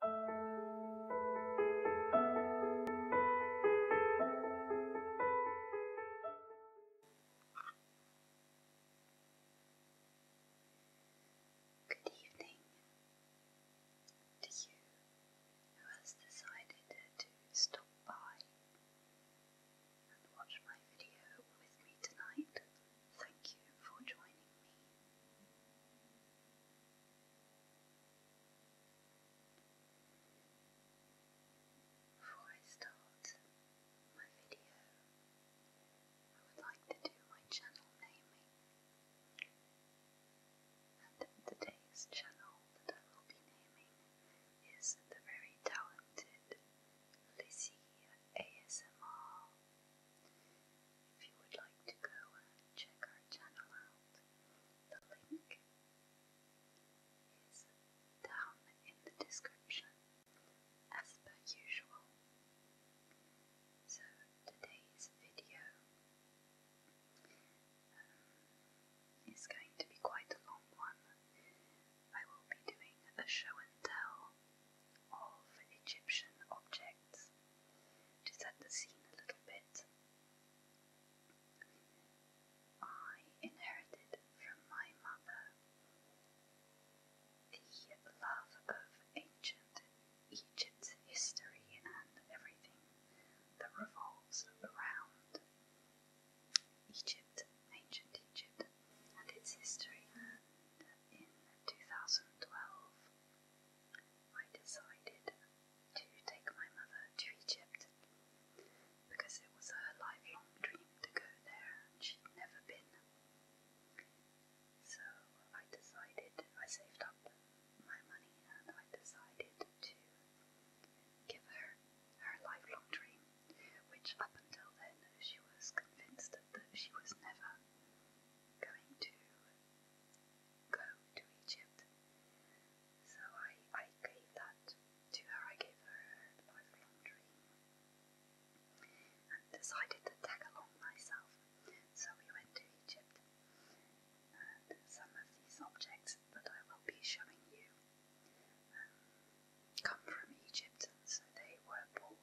Good evening to you who has decided to stop by and watch my video with me tonight. Thank you for joining me. Before I start my video, I would like to do my channel naming. And today's channel that I will be naming is the very talented Lizzie ASMR if you would like to go check our channel out, the link is down in the description as per usual. So, today's video um, is going to be quite a long one. I will be doing a show and tell of Egyptian objects to set the scene a little bit. I inherited from my mother the love of ancient Egypt's history and everything that revolves around Egypt, ancient Egypt, and its history. And in 2012, I decided to take my mother to Egypt because it was her lifelong dream to go there and she'd never been. So I decided, I saved up my money and I decided to give her her lifelong dream, which up until then she was convinced that she was never going to go to Egypt. So I, I gave that to her, I gave her her lifelong dream and decided to tag along myself. So we went to Egypt and some of these objects that I will be showing you um, come from Egypt, so they were bought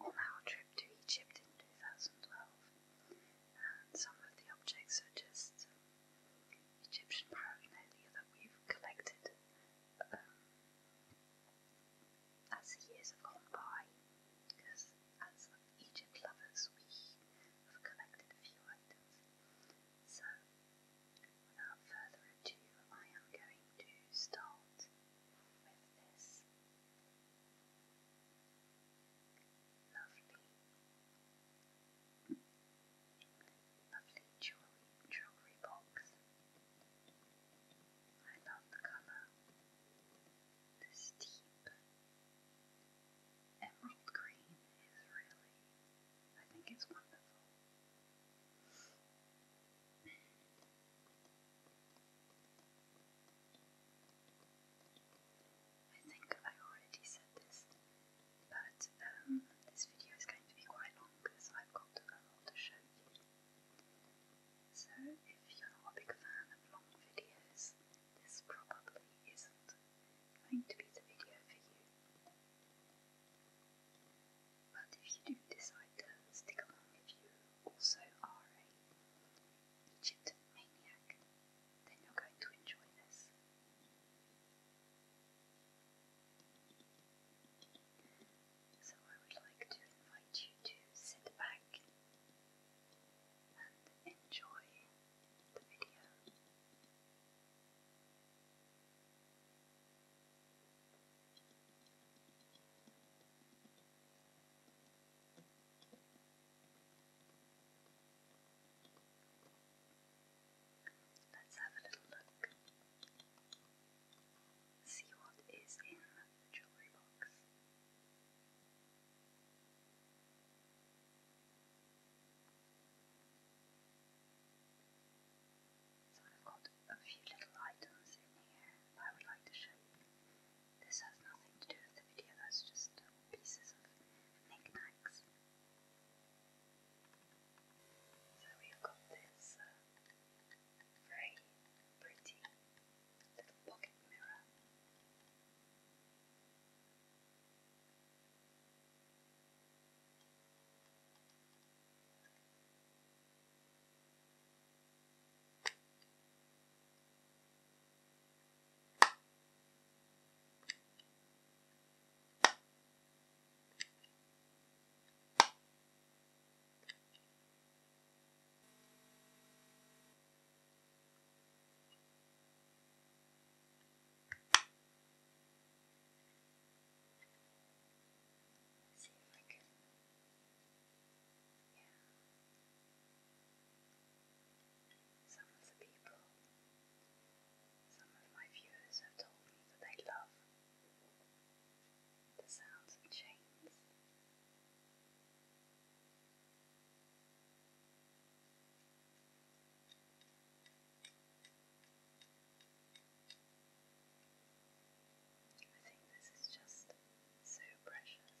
on our trip to Egypt in 2012, some of the objects are just Egyptian paraphernalia that we've collected um, as the years have gone by, because as Egypt lovers, we have collected a few items. So, without further ado, I am going to start with this. Lovely. Lovely jewelry, jewelry box. I love the colour. This deep emerald green is really, I think it's wonderful. I think I already said this, but um, this video is going to be quite long because I've got a lot to show you. So, if you're not a big fan of long videos, this probably isn't going to be the video for you. But if you do decide to stick along, if you also are a Egypt maniac, then you're going to enjoy this. So, I would like to invite you to sit back and enjoy the video. Let's have a little look. See what is in the jewellery box. So I've got a few little items in here that I would like to show you. This has nothing to do with the video, that's just pieces of knickknacks. So we've got this uh, very pretty little pocket mirror. See if I can yeah. Some of the people, some of my viewers have told me that they love the sounds of chains. I think this is just so precious.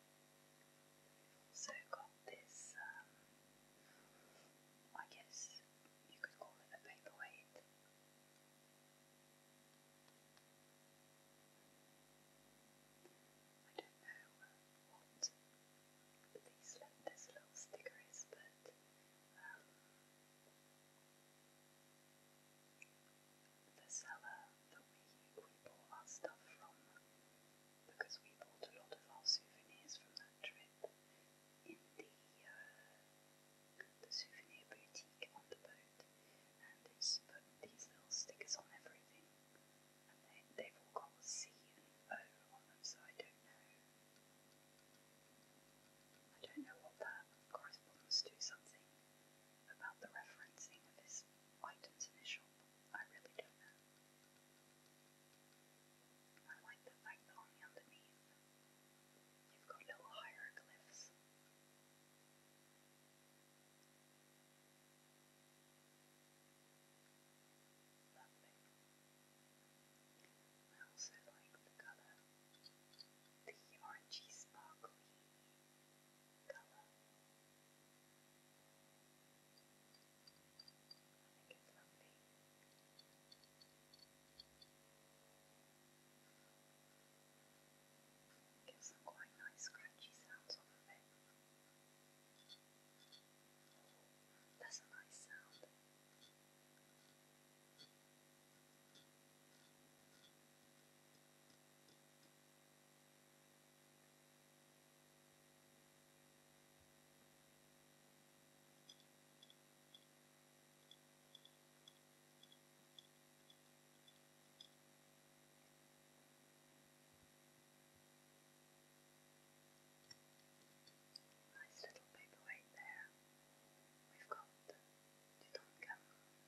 So got this, um, I guess you could call it a paperweight. I don't know uh, what this little sticker is, but um, the seller that we, we bought our stuff from because we bought a lot of our souvenirs from that trip in the, uh, the souvenir boutique on the boat, and it's put these little stickers on everything, and they, they've all got C and O on them, so I don't know. I don't know what that corresponds to, something about the referencing of this item's initial. I really do I like the fact that on the underneath you've got little hieroglyphs. Lovely. I also like the colour, the orangey sparkly colour. I think it's lovely. Gives some quite nice scratchy sounds off of it. That's a nice sound. I Nice little paperweight there. We've got Tutankhamun and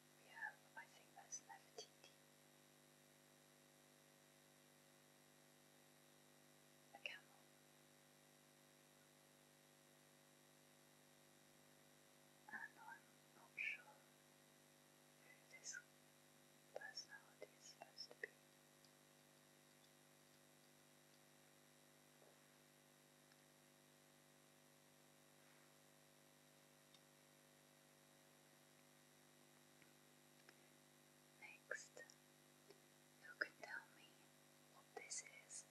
we I think that's Nefertiti. A camel. And I'm not sure who this personality is supposed to be. Next, who can tell me what this is?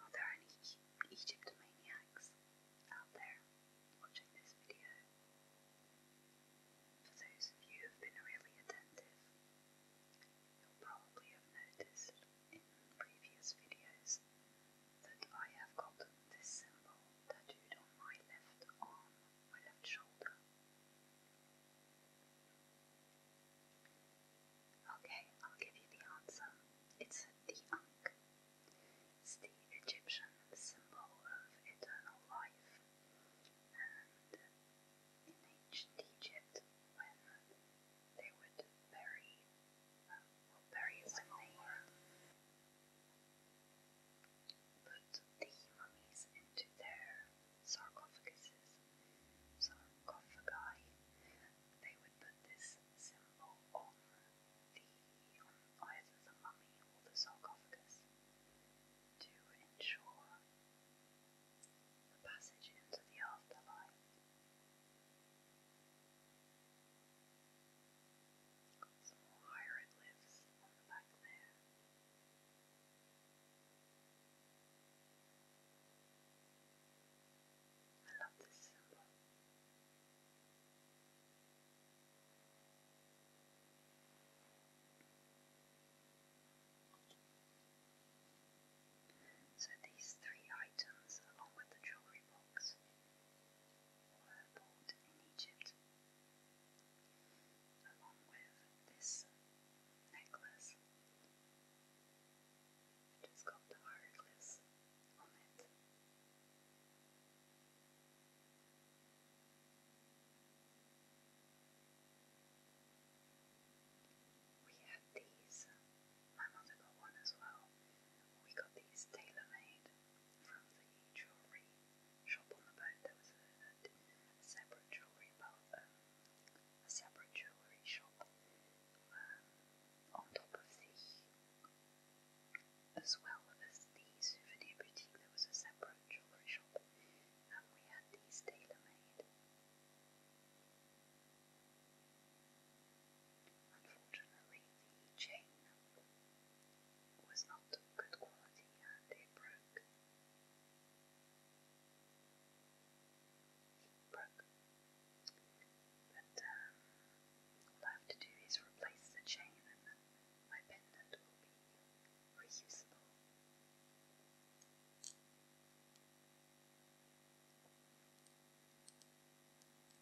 Are there any Egyptomaniacs out there watching this video? For those of you who have been really attentive, you'll probably have noticed in previous videos that I have gotten this symbol tattooed on my left arm, my left shoulder. Okay, I'll give you the answer. It's the Ankh. It's the Egyptian symbol of eternal life. And in ancient Egypt, when they would bury will bury they put the mummies into their sarcophagi. They would put this symbol on the on either the mummy or the sarcophagus to ensure the passage into the afterlife some more hieroglyphs on the back there. I love this symbol. So these three items, along with the jewelry box, were bought in Egypt. Along with this necklace, which has got the hieroglyphs on it. We had these, my mother got one as well. We got these tailor made from the jewellery shop on the boat. There was a, separate jewellery bar, um, a separate jewellery shop um, on top of the, as well as the souvenir boutique. There was a separate jewellery shop, and um, we had these tailor made. Unfortunately, the chain was not of good quality and it broke. But um, all I have to do is replace the chain and my pendant will be reusable.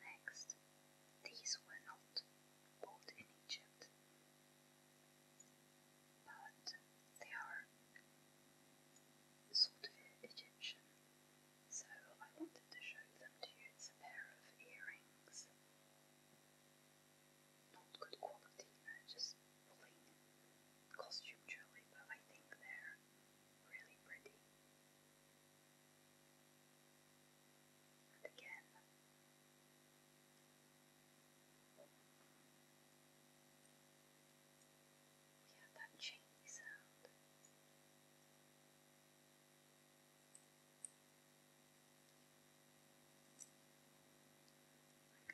Next, these were not bought in Egypt, but they are sort of Egyptian, so I wanted to show them to you. It's a pair of earrings not good quality, just plain costume jewelry, but I think they're really pretty. And again, we have that chainy sound. I'm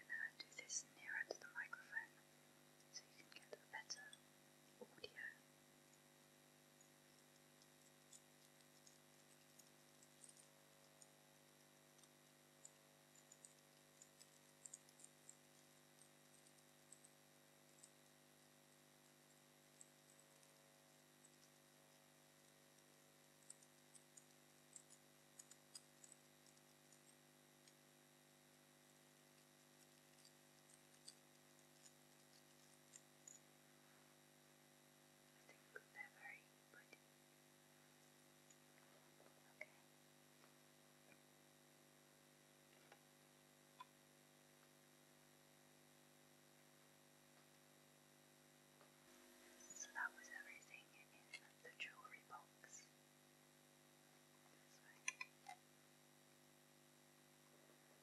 gonna do this nearer to the microphone so you can get better audio think they So that was everything in the jewelry box.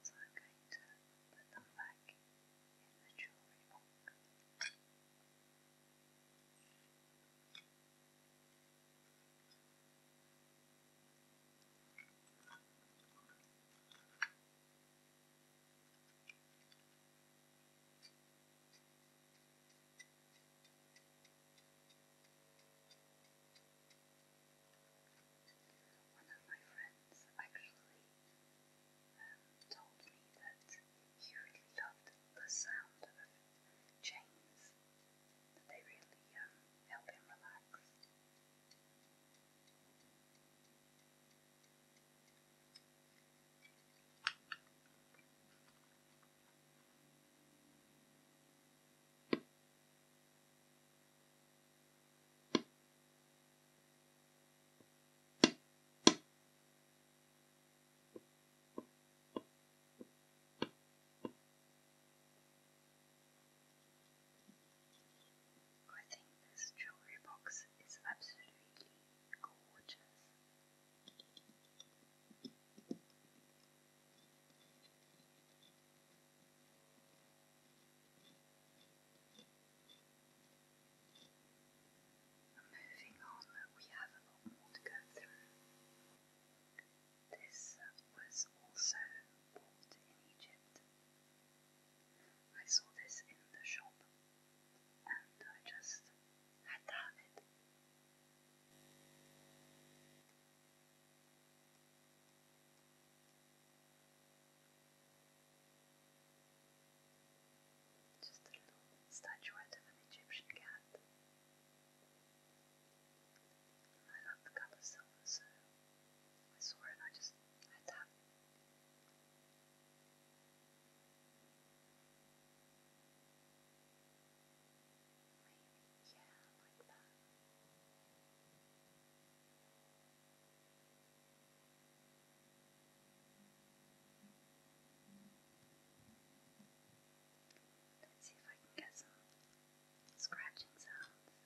So I'm going to put them back in the jewellery box. One of my friends actually um, told me that he really loved the sound of chains, they really um, help him relax. I think this jewelry box is absolutely gorgeous. Moving on, we have a lot more to go through. This was also bought in Egypt. I saw this in the shop and I just had to have it. Just a little statuette of an Egyptian cat. And I love the colour silver, so I saw it and I just had to have it. Maybe, yeah, like that. Let's see if I can get some scratching sounds. Maybe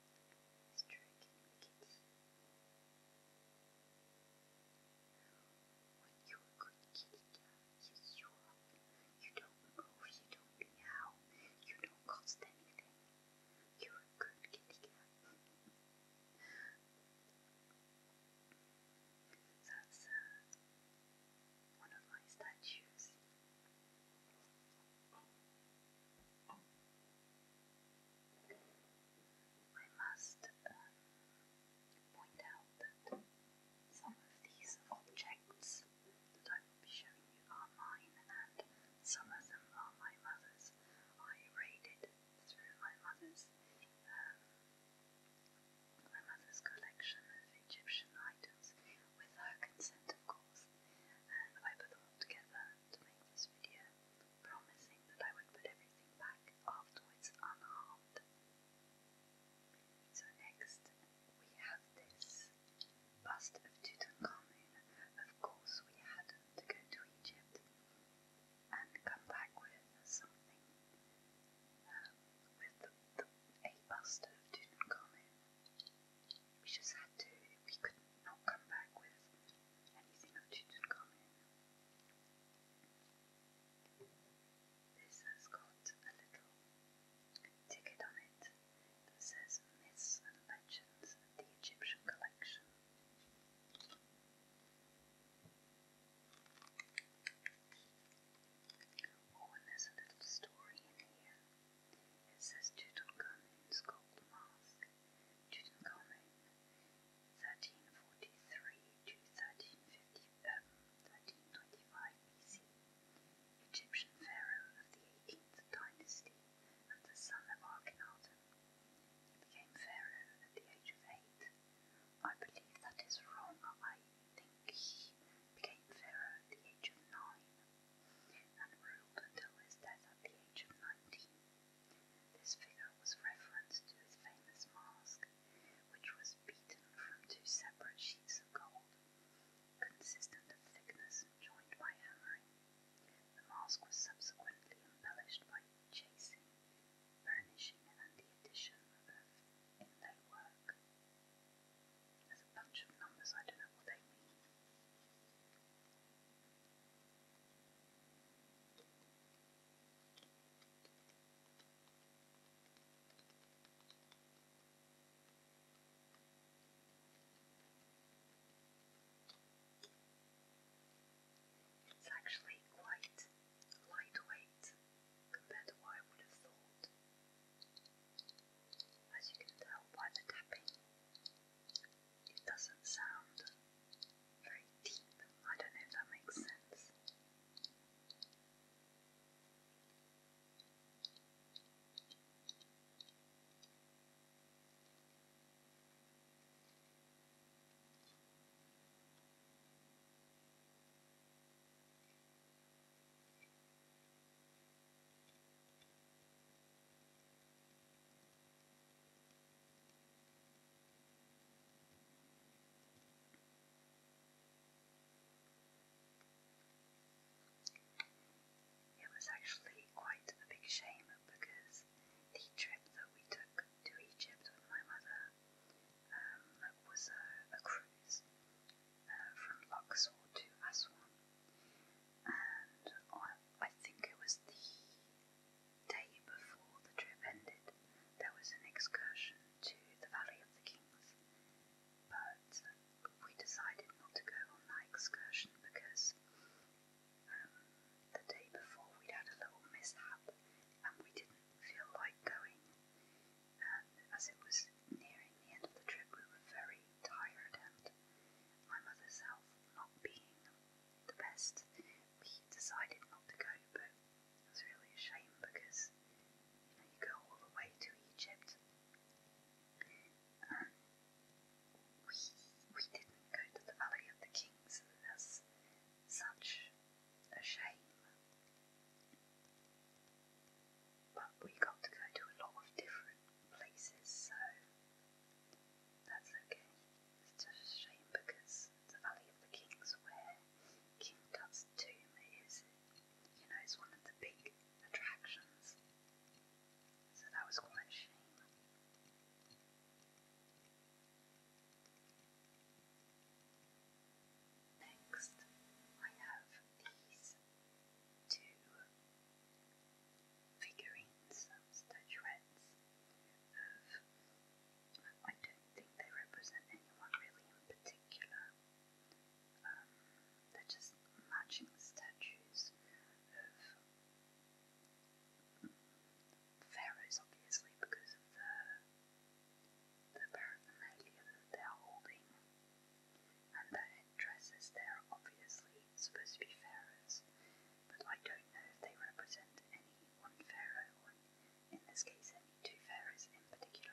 striking you're good kitty cat, you are. You don't move, you don't meow, you don't cost anything. You're good kitty cat. That's one of my statues. I must uh, point out that some of these objects that I will be showing you are mine, and some of them are my mother's. I raided through my mother's um, my mother's collection of Egyptian items, with her consent, of course, and I put them all together to make this video promising that I would put everything back afterwards unharmed. So, next we have this bust of Tutankhamun. Of course, we had to go to Egypt and come back with something um, with the, the, bust of Tutankhamun. We just had to, we could not come back with anything of Tutankhamun. This has got a little ticket on it that says Myths and Legends of the Egyptian Collection. Oh, and there's a little story in here. It says Tutankhamun's Gold Mask. Tutankhamun, 1343 to 1350, um, 1325 BC, Egyptian pharaoh of the 18th dynasty and the son of Akhenaten. He became pharaoh at the age of eight. I believe that is wrong. I think he became pharaoh at the age of nine and ruled until his death at the age of 19. This figure was referenced to his famous mask, which was beaten from two separate sheets of gold, consistent of thickness and joined by hammering. The mask was subsequently embellished by chasing, burnishing, and the addition of inlay work. There's a bunch of numbers, I don't know what they mean. It's actually quite lightweight compared to what I would have thought. As you can tell by the tapping, it doesn't sound very deep. I don't know if that makes sense. It was actually quite a big shame because the trip that we took to Egypt with my mother um, was a, cruise uh, from Luxor to Aswan, and I think it was the day before the trip ended, there was an excursion to the Valley of the Kings, but we decided not to go on that excursion because um, the day before we'd had a little mishap and we didn't feel like going. And um, as it was nearing the end of the trip, we were very tired, and my mother's health not being the best we decided not to go, but it's really a shame because you know you go all the way to Egypt, and we we didn't go to the Valley of the Kings, and that's such a shame. But we got to go to a lot of different places, so that's okay. It's just a shame because the Valley of the Kings, where King Tut's tomb is, you know, it's one of the big attractions. So that was quite a shame. Next, I have these two figurines, um, statuettes of I don't think they represent anyone really in particular. Um, they're just matching statues of mm, pharaohs, obviously, because of the the paraphernalia that they're holding, and the headdresses. They're obviously supposed to be pharaohs, but I don't know if they represent any one pharaoh or in this case any two pharaohs in particular.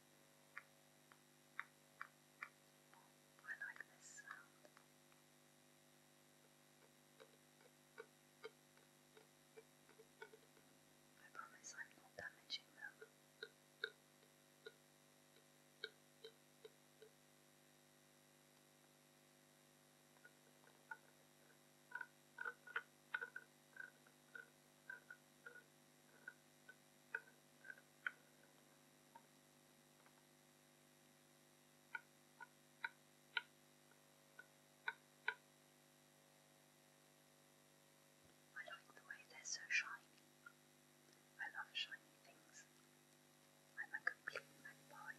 I like this I promise I'm not damaging them. I like the way they're so shiny. I love shiny things. I'm a complete magpie.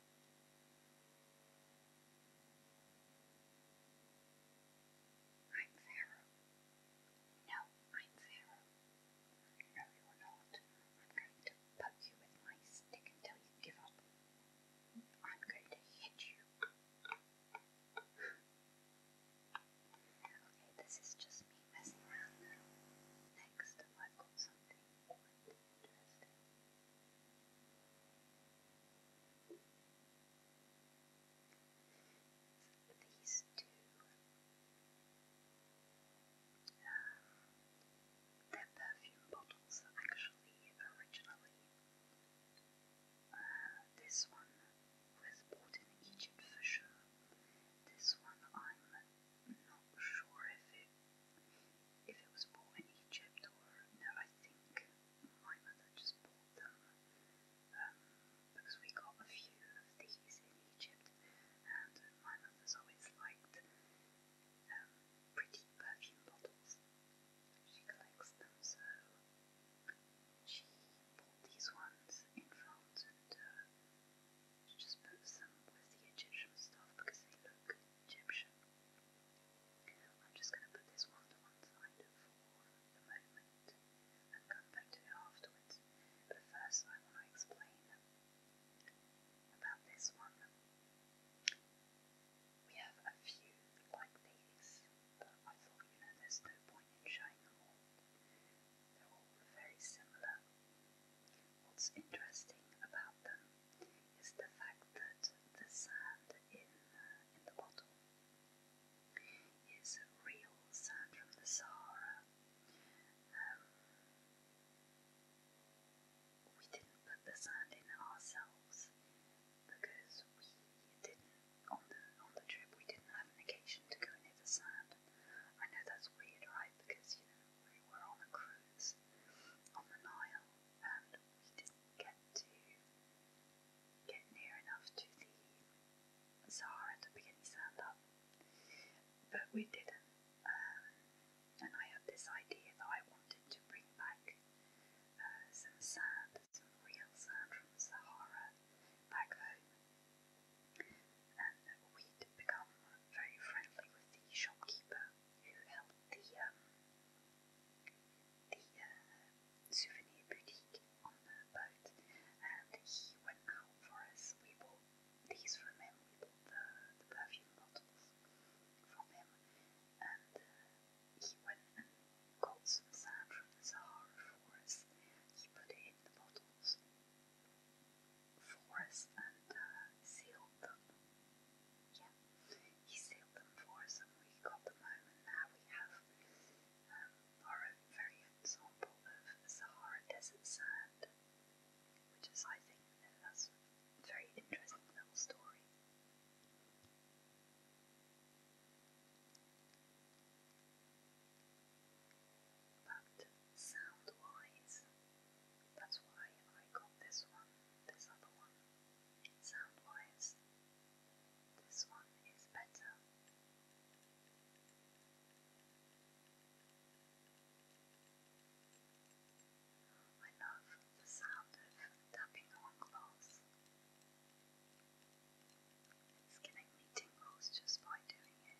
I'm Pharaoh. No, I'm Pharaoh. No, you're not. I'm going to poke you with my stick until you give up. I'm going to hit you. Okay, this is just me messing around Next, I've got something Fantastic. These two, their perfume bottles actually originally. Uh, this one was bought in Egypt for sure. This one I'm not sure if it if it was bought in Egypt or no, I think my mother just bought them um, because we got a few of these in Egypt, and my mother's always liked um, pretty perfume bottles. She collects them, so she bought these ones in France and uh, she just put some with the Egyptian stuff because they look Egyptian. I'm just going to put this one to one side for the moment and come back to it afterwards. But first, I want to explain about this one. We have a few like these, but I thought, you know, there's no point in showing them all. They're all very similar. What's interesting about them it's the fact that the sand in, uh, in the bottle is real sand from the Sahara. Um, we didn't put the sand in ourselves because we didn't on the on the trip we didn't have an occasion to go near the sand. I know that's weird, right? Because you know we were on a cruise on the Nile and we didn't get to get near enough to the Sahara to begin the sand up, but we didn't. Um, and I had this idea that I wanted to bring back uh, some sand, some real sand from the Sahara back home. And we'd become very friendly with the shopkeeper who held the um, the uh, souvenir boutique on the boat, and he went out for us. We bought these from him. We bought the, perfume bottles from him, and uh, he went and got some sand from the Sahara for us. He put it in the bottles for us and uh, sealed them yeah, he sailed them for us we got them home, and we have um, our own very own sample of Sahara Desert sand, which is, I think, that's very interesting little story. But sound wise, that's why I got this one, this other one sound wise, this one is better. I love the sound of tapping on glass. It's giving me tingles just by doing it.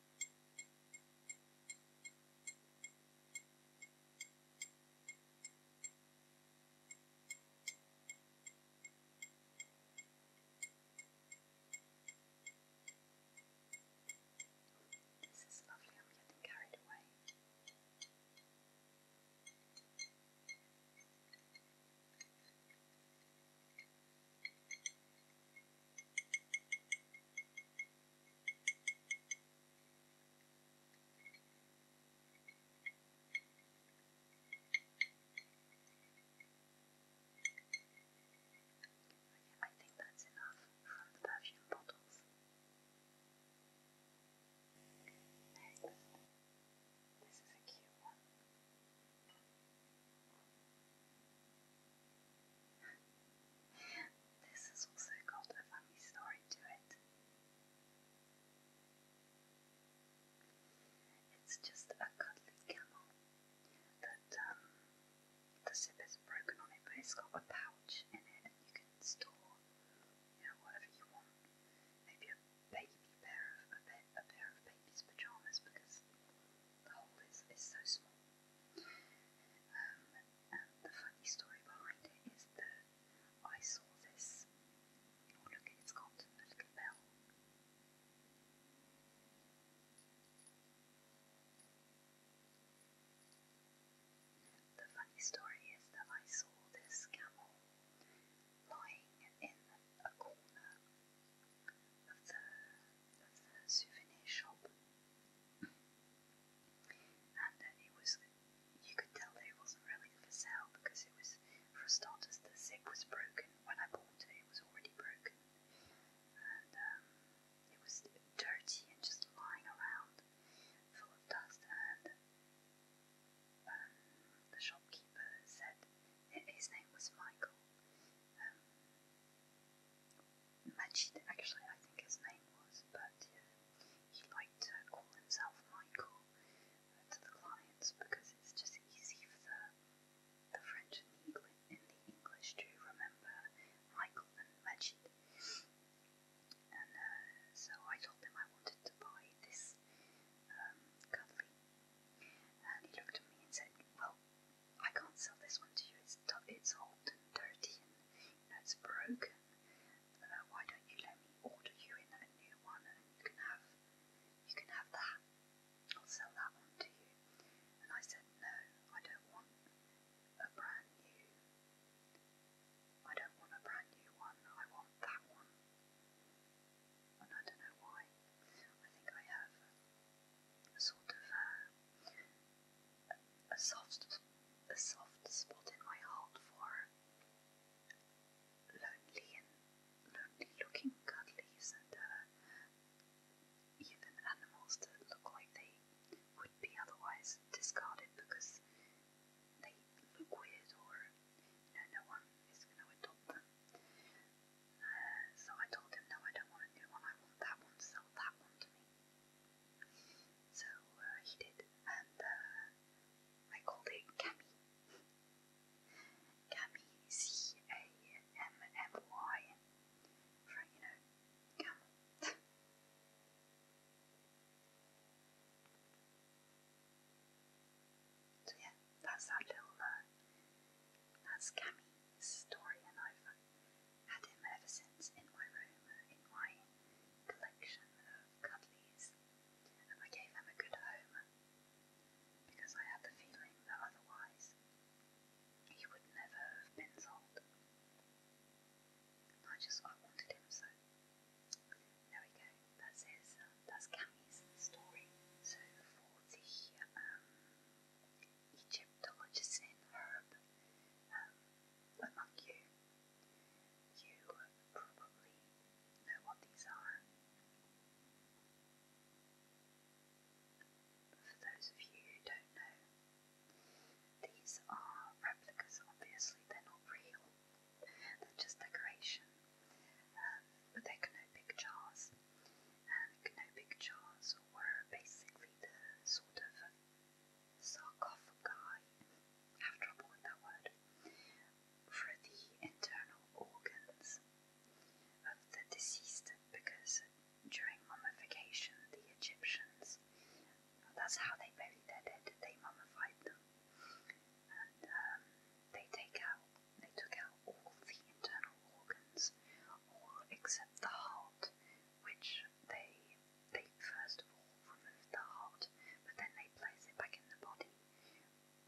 This is lovely, I'm getting carried away. Okay, I think that's enough from the perfume bottles. Next, this is a cute one this has also got a family story to it. It's just a cuddly camel that um, the zip is broken on it, but it's got a pouch in it, and you can store, you know, whatever you want. Maybe a baby pair of a, pair of baby's pajamas because the hole is, is so small. Um, the funny story behind it is that I saw this. Oh, look, it's got a little bell. The funny story is that I saw this camel lying in a corner of the, of the souvenir shop and it was you could tell that it wasn't really for sale because it was for starters the zip was broken when I bought it. It was already broken, and um, it was dirty and just lying around, full of dust. And um, the shopkeeper said his name was Michael. Um, Majid, actually, I think his name was, but yeah, he liked to call himself Michael uh, to the clients because it's just easy for the, the French and the, Engli and the English to remember Michael and Majid. And uh, so I told him I wanted to buy this um, cuddly, and he looked at me and said, Well, I can't sell this one to you, it's, it's old and dirty and that's broken. Uh, why don't you let me order you in a new one, you can have, you can have that. I'll sell that one to you." And I said, "No, I don't want a brand new. I don't want a brand new one. I want that one." And I don't know why. I think I have a sort of uh, a soft, a soft spot in my heart for lonely and lonely-looking cuddlies and uh, even animals that look like they would be otherwise discarded because they look weird or no one is going to adopt them. Uh, so I told him no, I don't want a new one. I want that one. Sell that one to me. So uh, he did, and uh, I called it Cammy. Cammy, C A M M Y, for you know, camel. so yeah, that's that little. Uh, that's Cammy's story, and i had him ever since in my room, in my collection of cuddlies, and I gave him a good home because I had the feeling that otherwise he would never have been sold. I just wanted him so. There we go. That's his. Uh, that's Cammy's story. So for um, Egyptologist Herb, um, among you. You probably know what these are. For those of you who don't know, these are replicas, obviously, they're not real, they're just decoration. Um, but they're canopic jars, and canopic jars were basically the sort of sarcophagi, have trouble with that word, for the internal organs of the deceased because during mummification, the Egyptians, that's how they buried their dead, they mummified them. And um, they take out, they took out all the internal organs, except the heart, which they they first of all remove the heart, but then they place it back in the body,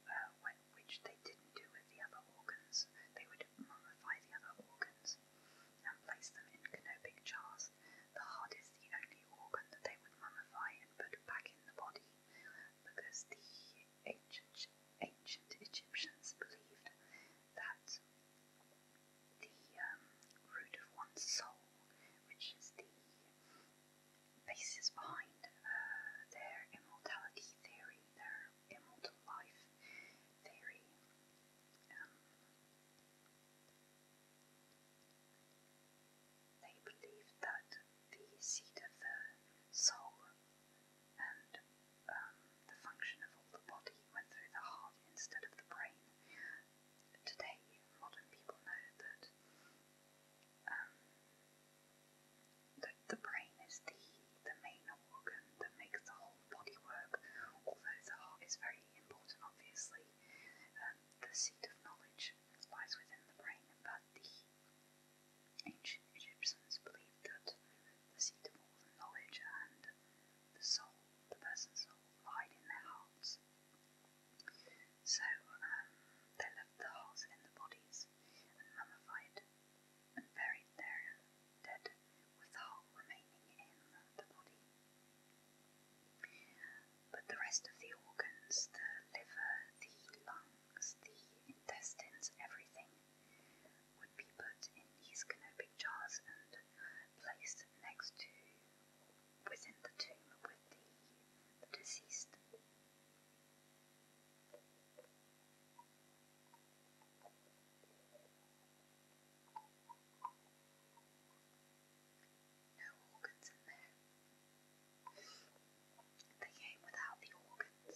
uh, which they didn't do with the other organs. They would mummify the other organs and place them in canopic jars. The heart is the only organ that they would mummify and put back in the body, because the ancient ancient Egyptians believed that the um, root of one's soul, which is the basis behind uh, their immortality theory, their immortal life theory. Um, they believe that the seat of the soul and um, the function of the body went through the heart instead of the brain, today modern people know that um, that the brain is the the main organ that makes the whole body work. Although the heart is very important, obviously, um, the seat of knowledge lies within the brain, but the ancient Egyptians believed that the seat of all the knowledge and the soul, the person's soul, lied in their hearts. So um, they left the holes in the bodies and mummified and buried their dead with the hole remaining in the body. But the rest of the organs, the liver, the lungs, the intestines, everything, would be put in these canopic jars and placed next to, within the tomb with the, deceased. organs in there. They came without the organs.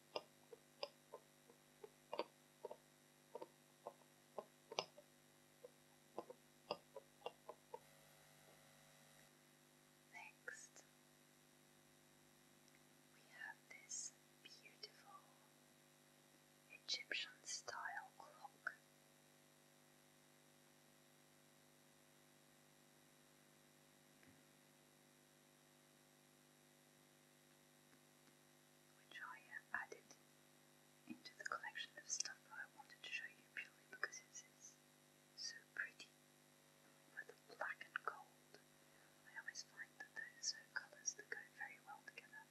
Next, we have this beautiful Egyptian style clock which I uh, added into the collection of stuff I wanted to show you purely because it's, so pretty. But black and gold, I always find that those are colours that go very well together.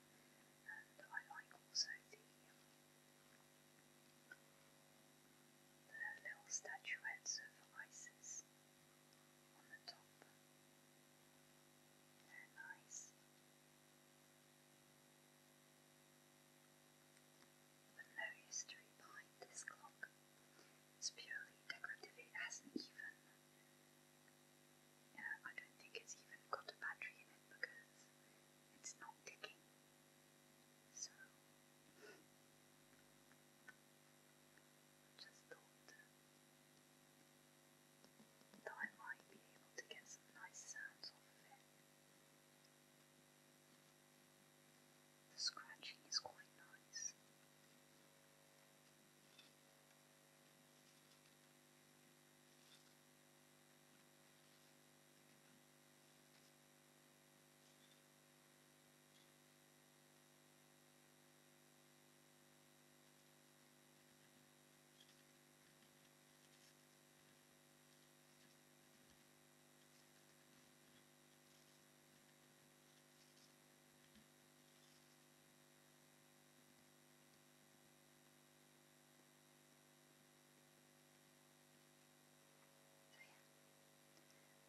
And I like also the, little statuettes of Isis on the top. They're nice. But no history behind this clock. It's purely decorative. It hasn't even. I don't think it's even got a battery in it because it's not ticking. So. Just thought I might be able to get some nice sounds off of it. The scratching is quite nice.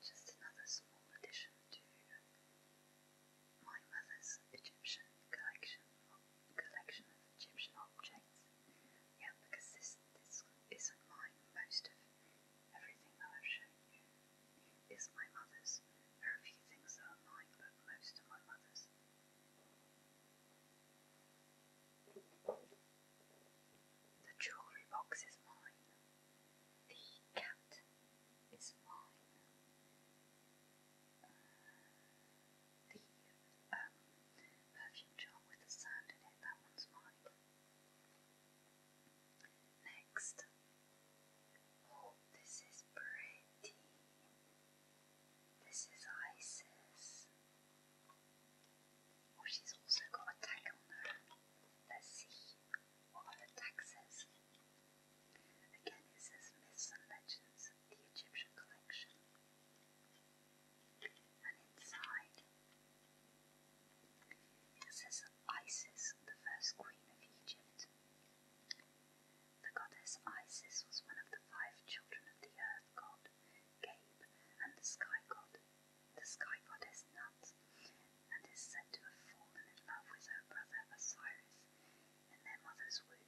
So yeah, just another small addition to my mother's Egyptian collection of, collection of Egyptian objects. Yeah, because this this isn't mine. Most of everything that I've shown you is my mother's. There are a few things that are mine, but most are my mother's. The jewellery box is mine. The cat is mine the perfume um, jar with the sand in it. That one's mine. Next. Oh, this is pretty. This is Isis. Oh, she's also got a tag on her. Let's see what her tag says. Again, it says Myths and Legends, the Egyptian Collection. And inside, it says Isis, the first queen of Egypt. The goddess Isis was one of the five children of the earth god, Gabe, and the sky god. The sky goddess Nut, and is said to have fallen in love with her brother Osiris in their mother's womb.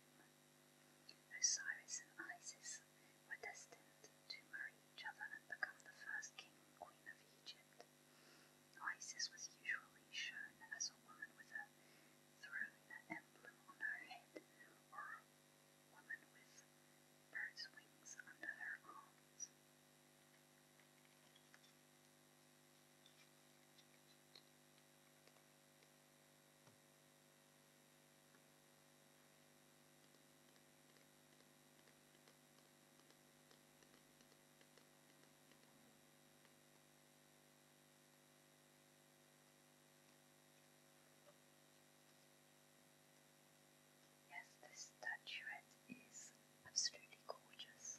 Osiris and Isis were destined to marry each other and become the first king and queen of Egypt. Isis was usually shown as a woman with a throne emblem on her head or a woman with bird's wings under her arms. Yes, this statuette is absolutely gorgeous.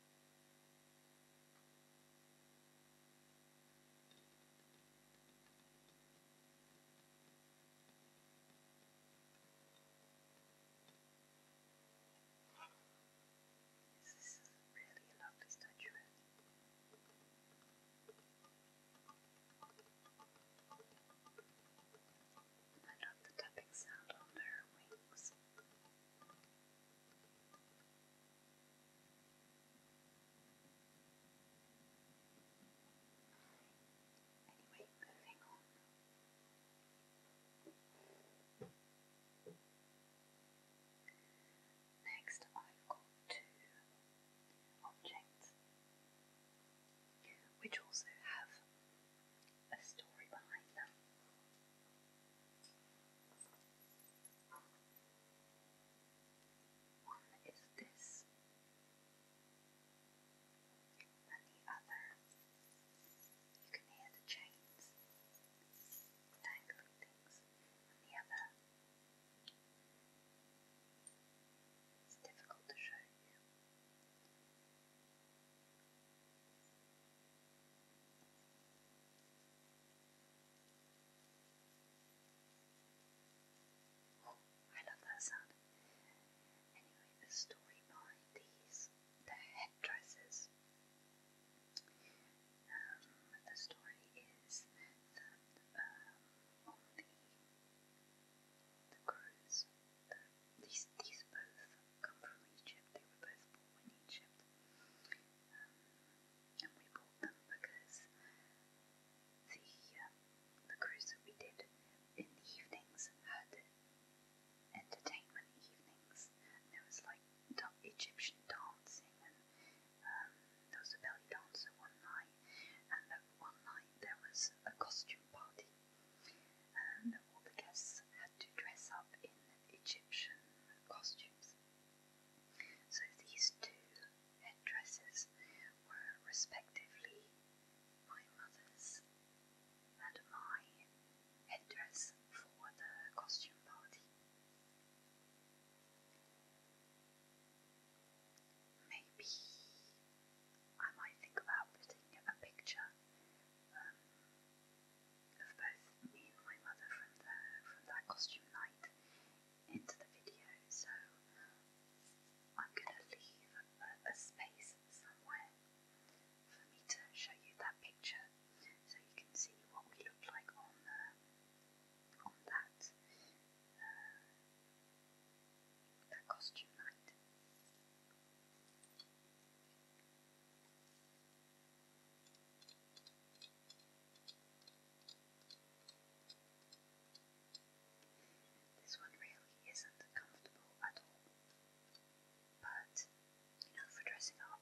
This is really a lovely statuette. I love the tapping sound on their wings. Anyway, moving Next, I've got two objects which also have a story behind them. One this, and other. You can hear the chains dangling things, and other. It's difficult to show you. I love that sound. Anyway, the story behind these, the headdresses. Um, the story is that um, the, the cruise, the, these, these both come from Egypt, they were both born in Egypt. Um, and we bought them because the uh, the cruise that we did in the evenings had entertainment evenings, there was like Egyptian dancing, and um, there was a belly dancer one night, and one night there was a costume party, and all the guests had to dress up in Egyptian costumes. So these two head dresses were respectively my mother's and my head dress for the costume party. Maybe I might think about putting a picture um, of both me and my mother from the from that costume night into the video, so I'm going to leave a, space somewhere for me to show you that picture so you can see what we look like on, uh, on that, uh, costume night. This one really isn't comfortable at all, but you know, for dressing up.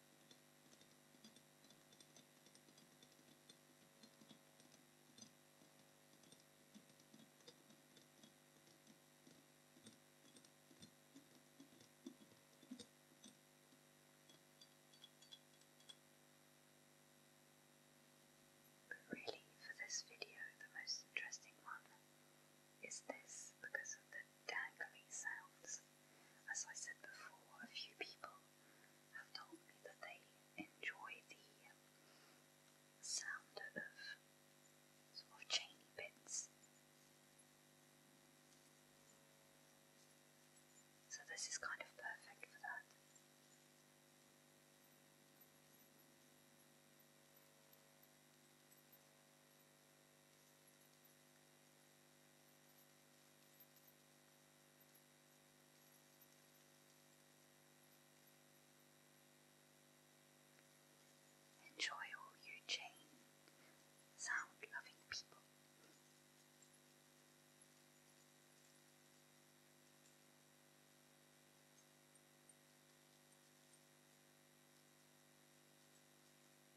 But really, for this video, the most interesting one is this because of the dangly sounds. As I said before, a few people have told me that they enjoy the sound of sort of chainy bits. So this is kind of perfect for that. Enjoy all you chain sound loving people.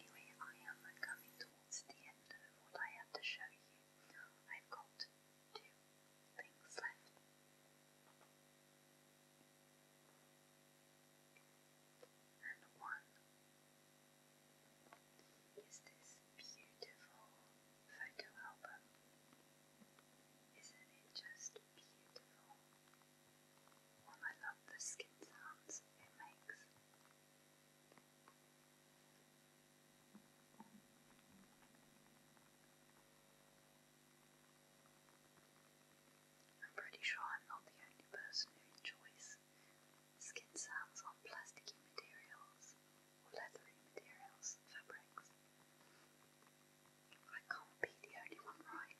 Anyway, I am coming towards the end of what I have to show you. I've got two things left. And one is this beautiful photo album. Isn't it just beautiful. I love the skin sounds it makes. I'm pretty sure I'm not the only person who enjoys skin sounds on plasticky materials or leathery materials, fabrics. I can't be the only one right.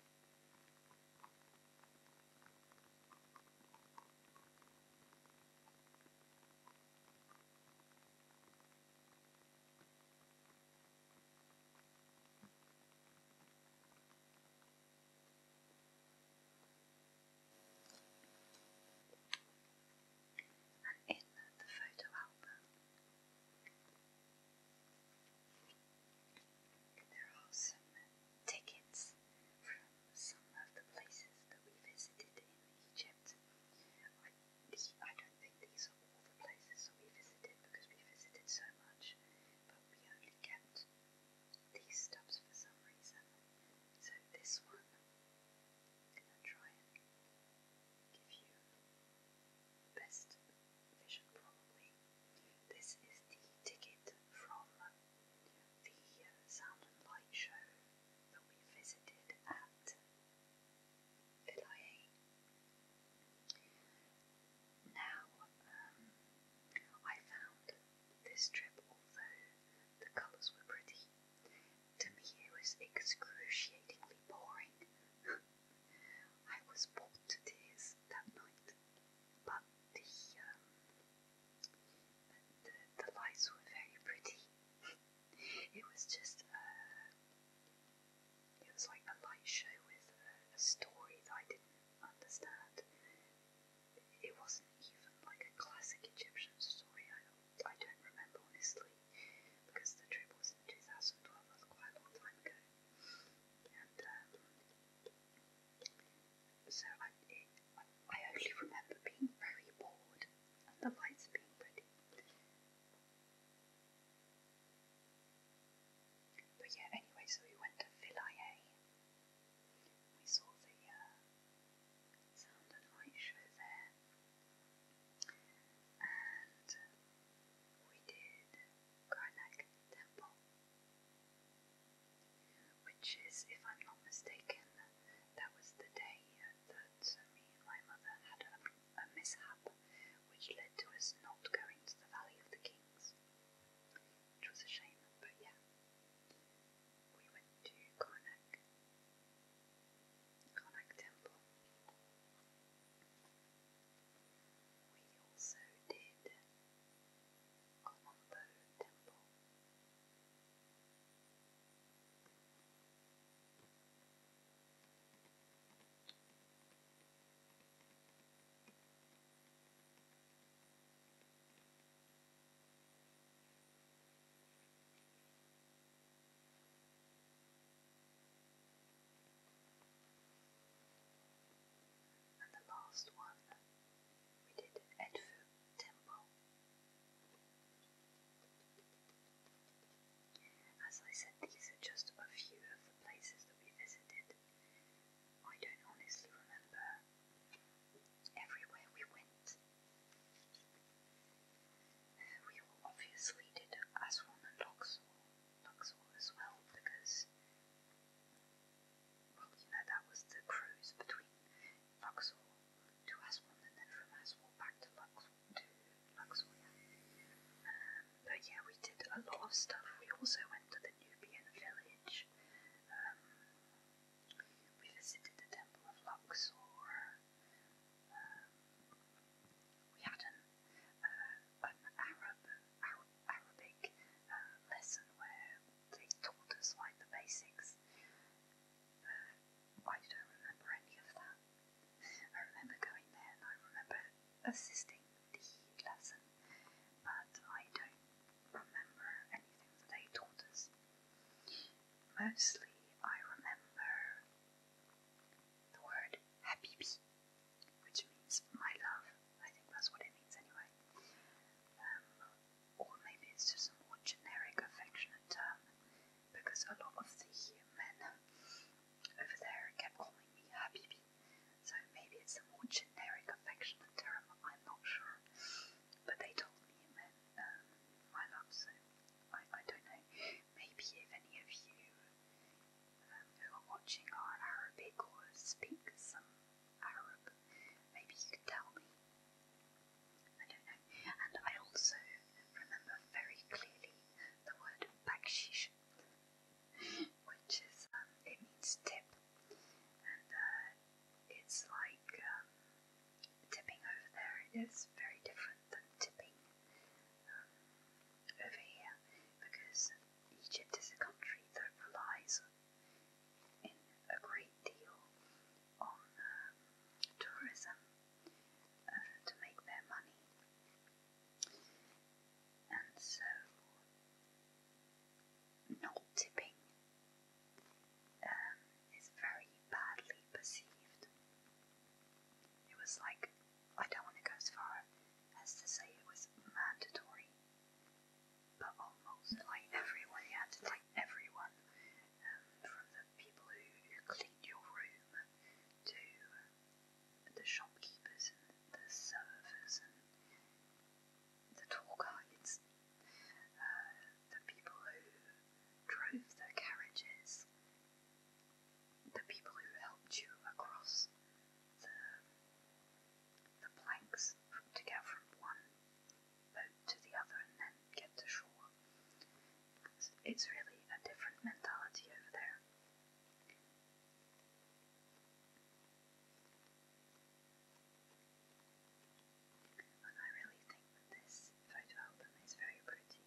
And in the photo album, and there are some tickets from some of the places that we visited in Egypt. I, don't think these are all the places that we visited because we visited so much, but we only kept these stubs for some reason. So this one, I'm going to try and give you best vision probably. This is the ticket from the Sound Light show that we visited at LIA. Now, um, I found this trip, although the colours were pretty, to me it was excruciatingly boring. I was born to tears that night, but um, the the, lights were very pretty. it was just uh, it was like a light show with a, story that I didn't understand. It wasn't even like a classic Egyptian story. I I don't remember honestly because the trip was in 2012. That's quite a long time ago. Um, so I, I only remember being very bored and the lights being pretty. But yeah, anyway, so we went to Villiers. We saw the uh, sound and light show there. And we did Karnak temple, which is, if I'm not mistaken, that was the day uh, that uh, me and my mother had a, mishap which led to us not going to the Valley of the Kings, which was a shame, but yeah, we went to Karnak. Karnak Temple. We also did Colombo Temple. And the last one we did Edfu Temple. As I said, these are just a few of the places that we visited. I don't honestly remember everywhere we went. We obviously did Aswan and Luxor, Buxwell as well because, well, you know, that was the cruise between Buxwell to Aswan and then from Aswan back to Luxor. To Luxor. Um, but yeah, we did a lot of stuff. We also went to the Nubian village. Um, we visited the Temple of Luxor. Um, we had a uh, an Arab Arabic uh, lesson where they taught us like the basics. I don't remember any of that. I remember going there and I remember assisting the lesson, but I don't remember anything that they taught us. Mostly I remember the word habibi which means my love. I think that's what it means anyway. Um, or maybe it's just a more generic affectionate term because a lot of the men over there kept calling me Habibi. So maybe it's a more generic affectionate term, I'm not sure. But they told me it meant um, my love, so I, I don't know. Maybe if any of you who are watching our Arabic or speak some Arab, maybe you can tell me. I don't know. And I also remember very clearly the word bakshish, which is, um, it means tip. And uh, it's like um, tipping over there. It is very different than tipping um, over here because Egypt is a country that relies in a great deal on um, tourism uh, to make their money. And so, not tipping um, is very badly perceived. It was like, I don't want to go as far as to say it was mandatory but almost like everyone, you had everyone um, from the people who, who cleaned your room to um, the shopkeepers and the servers and the tour uh, the people who drove the carriages, the people who helped you across the planks to get from one boat to the other and then get to shore. It's, it's really a different mentality over there. And I really think that this photo album is very pretty.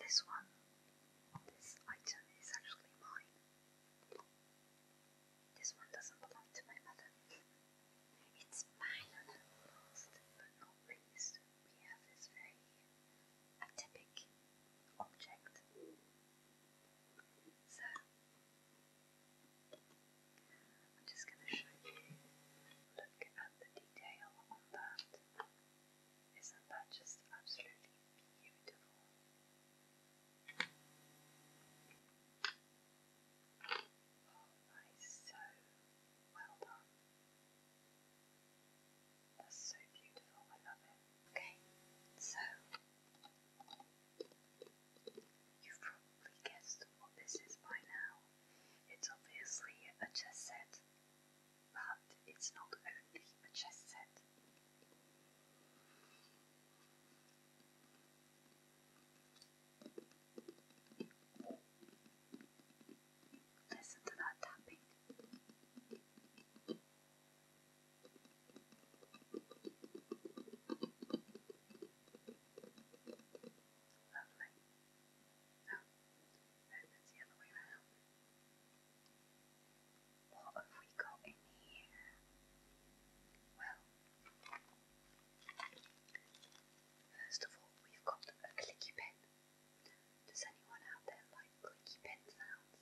This one, this item is actually mine. This one doesn't belong to my mother. it's mine and the list, but not least, we have this very atypic object. So, I'm just going to show you. Look at the detail on that. Isn't that just absolutely beautiful? nice. So well done. That's so beautiful. I love it. Okay, so you've probably guessed what this is by now. It's obviously a chess set, but it's not only a chess set. Listen to that tapping. Lovely. No, oh, no, that's the other way around. What have we got in here? Well, First of all, we've got a clicky pen. Does anyone out there like clicky pen sounds?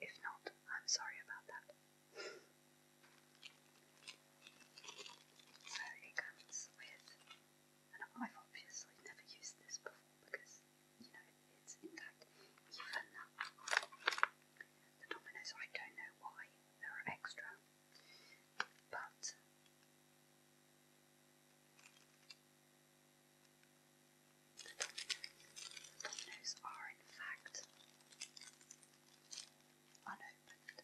If not, I'm sorry about that. So it comes with, and I've obviously never used this before because, you know, it's intact. Even the dominoes, I don't know why there are extra, but the dominoes are in fact unopened.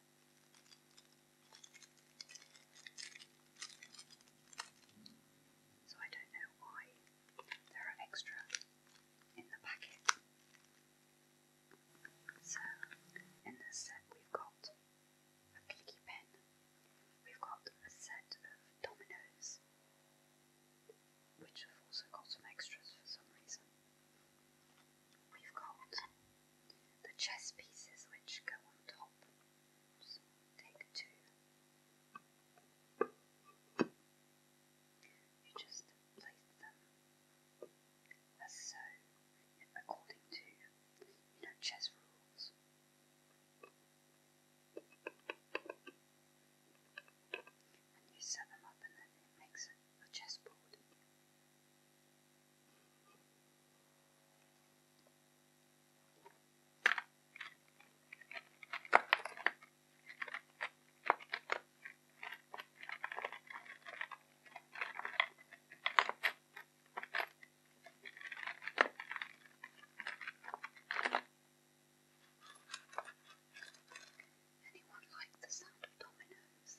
So I don't know why there are extra in the packet. So in this set we've got a clicky pen, we've got a set of dominoes, which have also got some extras for some reason. We've got the chess pieces which go on top. take two. You just place them as so, according to you know chess rules. And you set them up, and then it makes a chess board. Anyone like the sound of dominoes?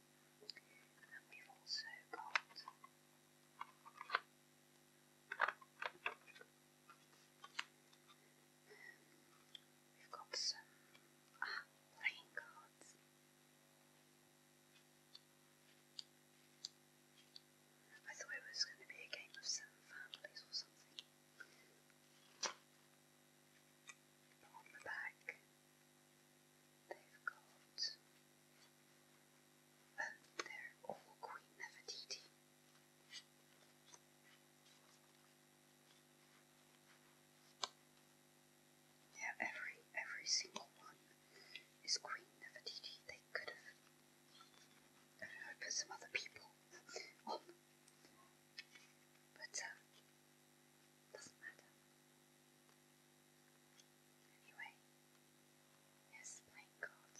we've got some ah, playing cards. I thought it was going to be a game of seven families or something. On the back, they've got um, they're all Queen Nefertiti. Yeah, every every single one is Queen Nefertiti. They could have I some other people on. But um, doesn't matter. Anyway, yes, playing cards.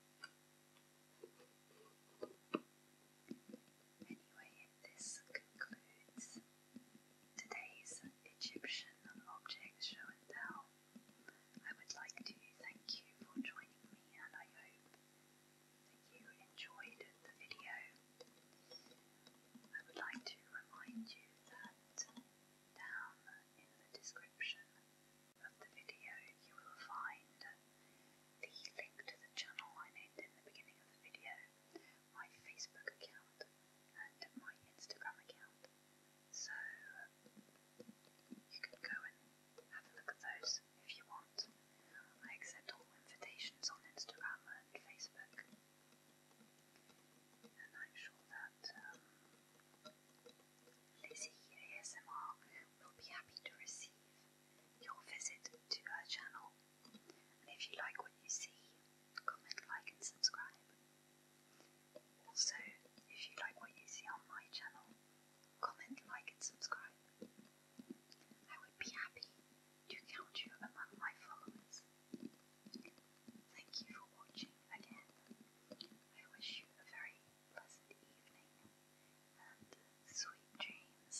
Anyway, this concludes today's Egyptian object show and tell. I would like to thank you for joining me, and I hope that you enjoyed the video. I would like to remind you that down in the description of the video, you will find the link to the channel I named in the beginning of the video, my Facebook account, and my Instagram account. So you can go and have a look at those if you want. I accept all invitations on Instagram and Facebook. And I'm sure that um, Lizzie ASMR will be happy to receive your visit to her channel. And if you like what you see, comment, like, and subscribe. Also, if you like what you see on my channel, comment, like, and subscribe. I would be happy to count you among my followers. Thank you for watching again. I wish you a very pleasant evening, and sweet dreams,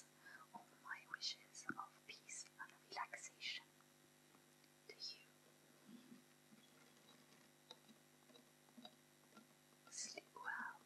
all my wishes of peace and relaxation to you. Sleep well.